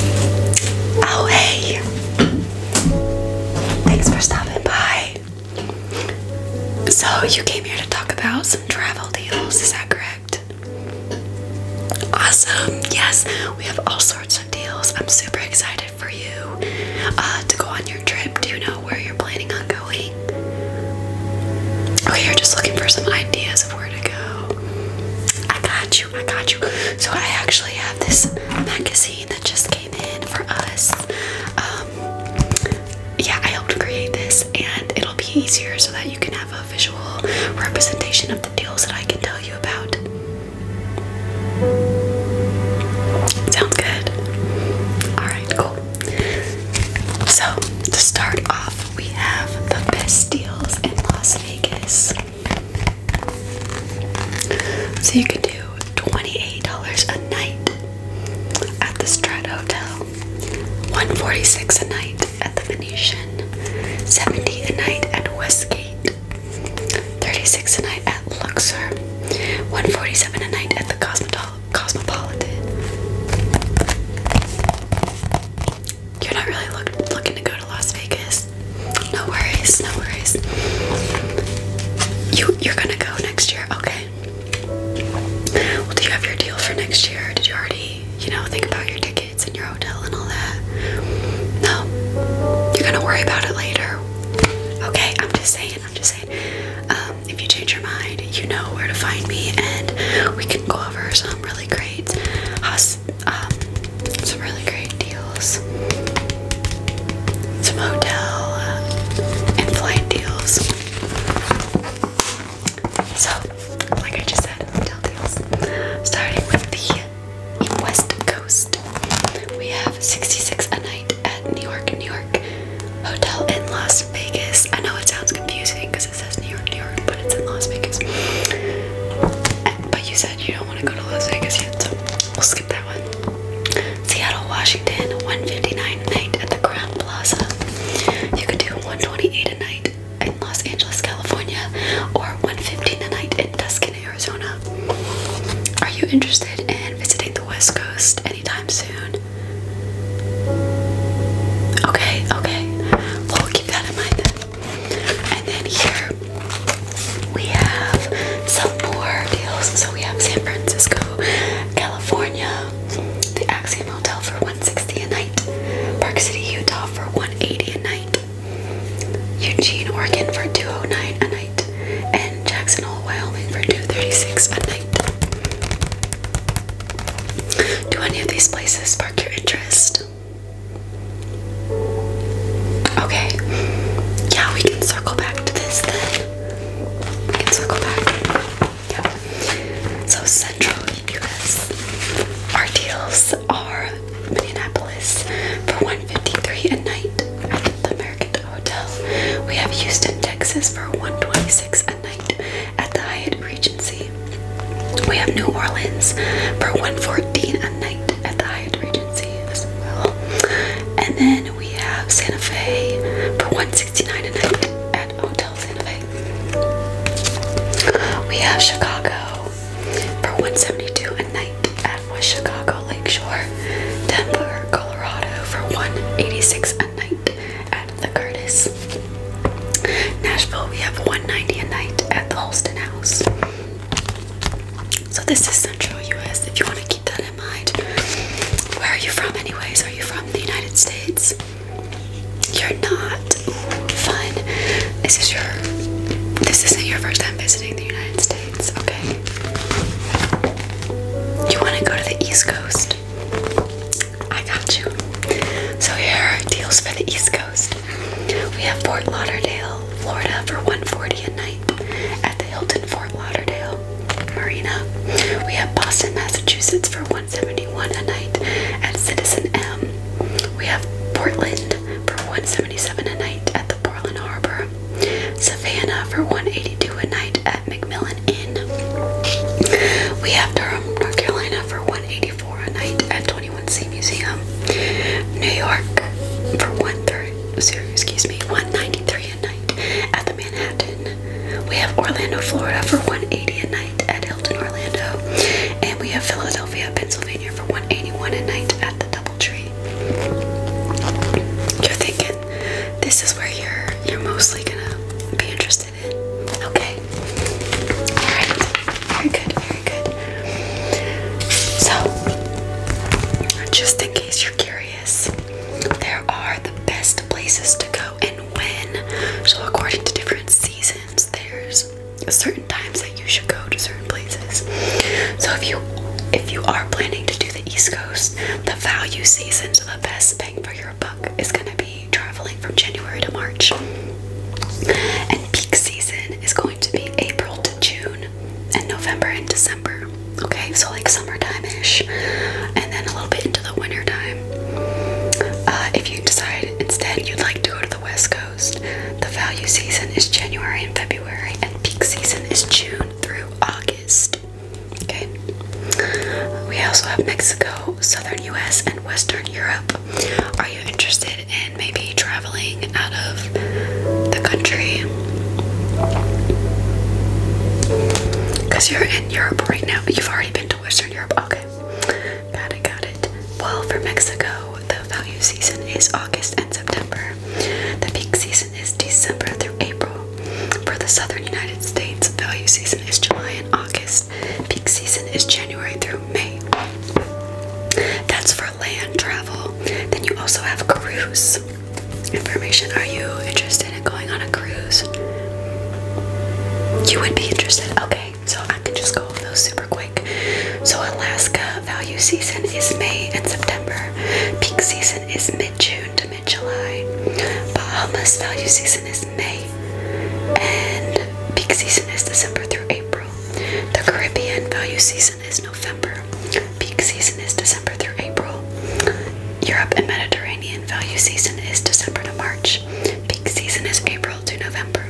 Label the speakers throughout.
Speaker 1: Oh, hey. Thanks for stopping by. So, you came here to talk about some travel deals, is that correct? Awesome. Yes, we have all sorts of deals. I'm super excited for you uh, to go on your trip. Do you know where you're planning on going? Oh, you're just looking for some ideas of where to go. I got you. I got you. So I actually have this magazine that just came in for us. Um, yeah, I helped create this and it'll be easier so that you can have a visual representation of the deals that I can tell you about. Sounds good. Alright, cool. So to start off, we have the best deals in Las Vegas. So you could do $28 a night at the Strat Hotel, $146 a night at the Venetian, $70 a night at Westgate, $36 a night at Luxor, $147 a night at the Cosmopolitan. You're not really looking to go to Las Vegas. No worries, no worries. You you're gonna go next year, okay? Well, do you have your deal for next year? Did you already, you know, think about your tickets and your hotel and all that? No, you're gonna worry about it later. Okay, I'm just saying, I'm just saying. Um, if you change your mind, you know where to find me, and we can go over some really great hostels um, some really great deals, some hotel uh, and flight deals. So, like I just said, hotel deals. Starting with the West Coast, we have 66 a night at New York, New York Hotel in Las Vegas. I know it sounds confusing because it says New York, New York, but it's in Las Vegas. but you said you don't want to go to Las Vegas yet, so we'll skip that one. Seattle, Washington, 159 a night at the Crown Plaza. You could do 128 a night in Los Angeles, California, or 115 a night in Tuscan, Arizona. Are you interested in visiting the West Coast anytime soon? Okay, okay. Well, keep that in mind And then here we have some more deals. So we have San Francisco, California, the Axiom Hotel for 160 a night, Park City, Utah for 180 a night, Eugene, Oregon for 209 a night, and Jackson Hole, Wyoming for 236 a night. Do any of these places your interest? Okay. Yeah, we can circle back to this then. We can circle back. Yeah. So central US. Our deals are Minneapolis for 153 a night at the American Hotel. We have Houston, Texas for 126 a night at the Hyatt Regency. We have New Orleans for 114 a night at the Hyatt Regency as well. And then we have Santa Fe for 169 a night at Hotel Santa Fe. We have Chicago for 172 a night at West Chicago Lake Shore. Denver, Colorado for 186 a night at the Curtis. Nashville, we have 190 a night at the Holston House. So this is Central U.S. If you want to keep that in mind. Where are you from, anyways? Are you from the United States? You're not. fun. This is your. This isn't your first time visiting the United States, okay? You want to go to the East Coast? I got you. So here are deals for the East Coast. We have Fort Lauderdale, Florida for 140 a night at the Hilton Fort Lauderdale Marina. We have Boston, Massachusetts for 171 a night at Citizen M. We have Portland for 177 a night at the Portland Harbor. Savannah for 182 a night at McMillan that We have Durham, North Carolina for 184 a night at 21C Museum. New York for 130, excuse me, 193 a night at the Manhattan. We have Orlando, Florida for 180 a night at Hilton Orlando. And we have Philadelphia, Pennsylvania for 181 a night at the Doubletree. You're thinking this is where you're you're mostly gonna be interested Okay. Alright. Very good, very good. So, just in case you're curious, there are the best places to go and when. So, according to different seasons, there's certain times that you should go to certain places. So, if you if you are planning to do the East Coast, the value season is the best bang for your is going to be traveling from January to March. And peak season is going to be April to June and November and December. Okay, so like summertime ish. And then a little bit into the wintertime. Uh, if you decide instead you'd like to go to the West Coast, the value season is January and February, and peak season is June through August. Okay. We also have Mexico, southern US, and western Europe. Are you interested in maybe traveling out of the country? Because you're in Europe right now, but you've already been to western Europe. Okay. Got it, got it. Well, for Mexico, the value season is August and September. The peak season is December through April. For the southern United States, value season is July and August. Peak season is January through May. That's for land travel. Then you also have cruise information. Are you interested in going on a cruise? You would be interested. Okay, so I can just go over those super quick. So, Alaska value season is May and September. Peak season is mid June to mid July. Bahamas value season is May, and peak season is December through April. The Caribbean value season is November, peak season is December through April. Europe and Mediterranean value season is December to March, peak season is April to November.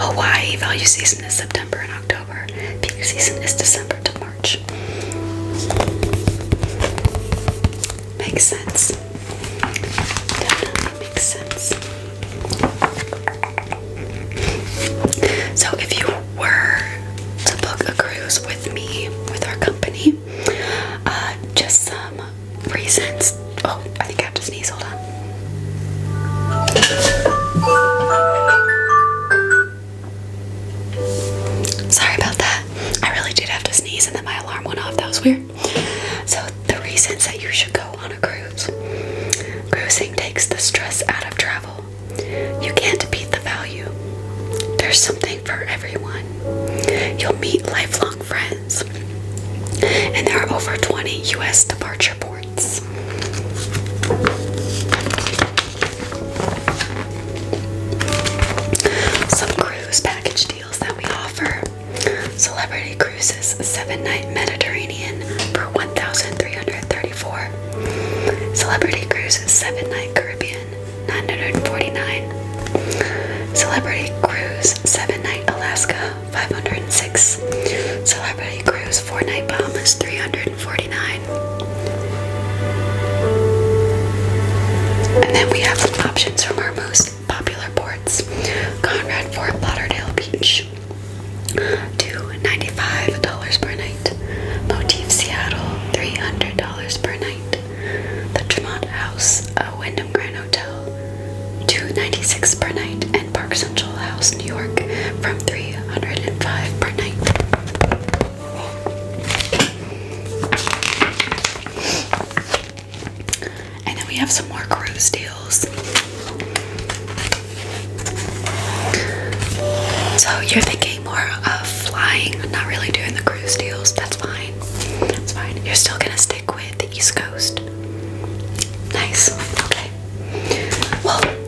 Speaker 1: Hawaii value season is September and October, peak season is December to March. March. Makes sense. Definitely makes sense. So, if you were to book a cruise with me, with our company, uh, just some reasons. Oh, I think I have to sneeze. Hold on. Sorry about that. I really did have to sneeze and then my alarm went off. That was weird. So, the reasons that you should go on a cruise cruising takes the stress out of travel. You can't beat the value. There's something for everyone. You'll meet lifelong friends. And there are over 20 US departure ports. Some cruise package deals that we offer. Celebrity Cruises 7-night Mediterranean for 1334 Celebrity Cruises 7-night Caribbean 949 Celebrity Cruises 7-night Alaska 506 Celebrity Cruises 4-night Bahamas 300 and then we have options from our most popular ports. Conrad Fort Lauderdale Beach $295 per night. Motif Seattle $300 per night. The Tremont House, a Wyndham Grand Hotel, $296 per night. And Park Central House, New York, from $305 per night. And then we have some more cruise deals. So you're thinking more of flying, not really doing the cruise deals. That's fine. That's fine. You're still gonna stick with the East Coast. Nice. Okay. Well,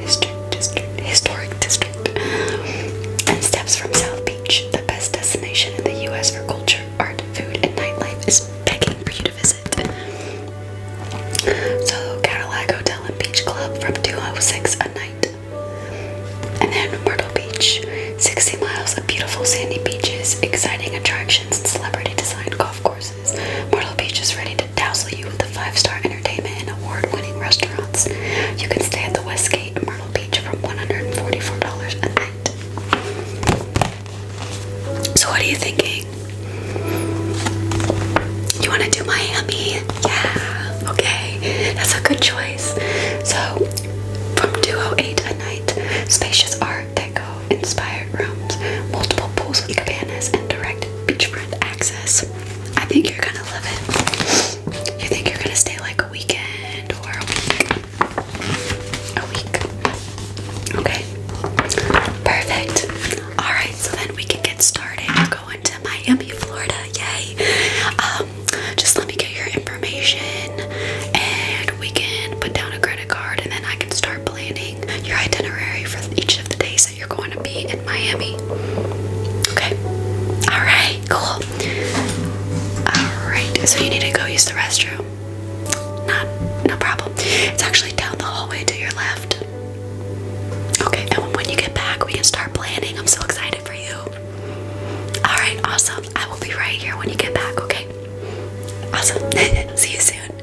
Speaker 1: Historic District, historic district. and steps from South Beach, the best destination in the US for culture, art, food, and nightlife is begging for you to visit. So Cadillac Hotel and Beach Club from 206 a night. And then Myrtle Beach, 60 miles of beautiful sandy beaches, exciting attractions, and celebrity designed golf courses. Myrtle Beach is ready to dazzle you with the five-star entertainment and award-winning restaurants. You can stay at the Westgate Myrtle Beach for $144 a night. So what are you thinking? You want to do Miami? Yeah, okay. That's a good choice. So from 208 a night, spacious art deco inspired rooms, multiple pools with cabanas, and direct beachfront access access. I think you're gonna love it. You think you're gonna stay like a weekend or a week? A week. Okay. Perfect. Alright, so then we can get started We're going to Miami, Florida. Yay! Um, just let me get your information and we can put down a credit card and then I can start planning your itinerary for each of the days you're going to be in Miami. Okay. All right. Cool. All right. So you need to go use the restroom. Not, no problem. It's actually down the hallway to your left. Okay. And when you get back, we can start planning. I'm so excited for you. All right. Awesome. I will be right here when you get back. Okay. Awesome. See you soon.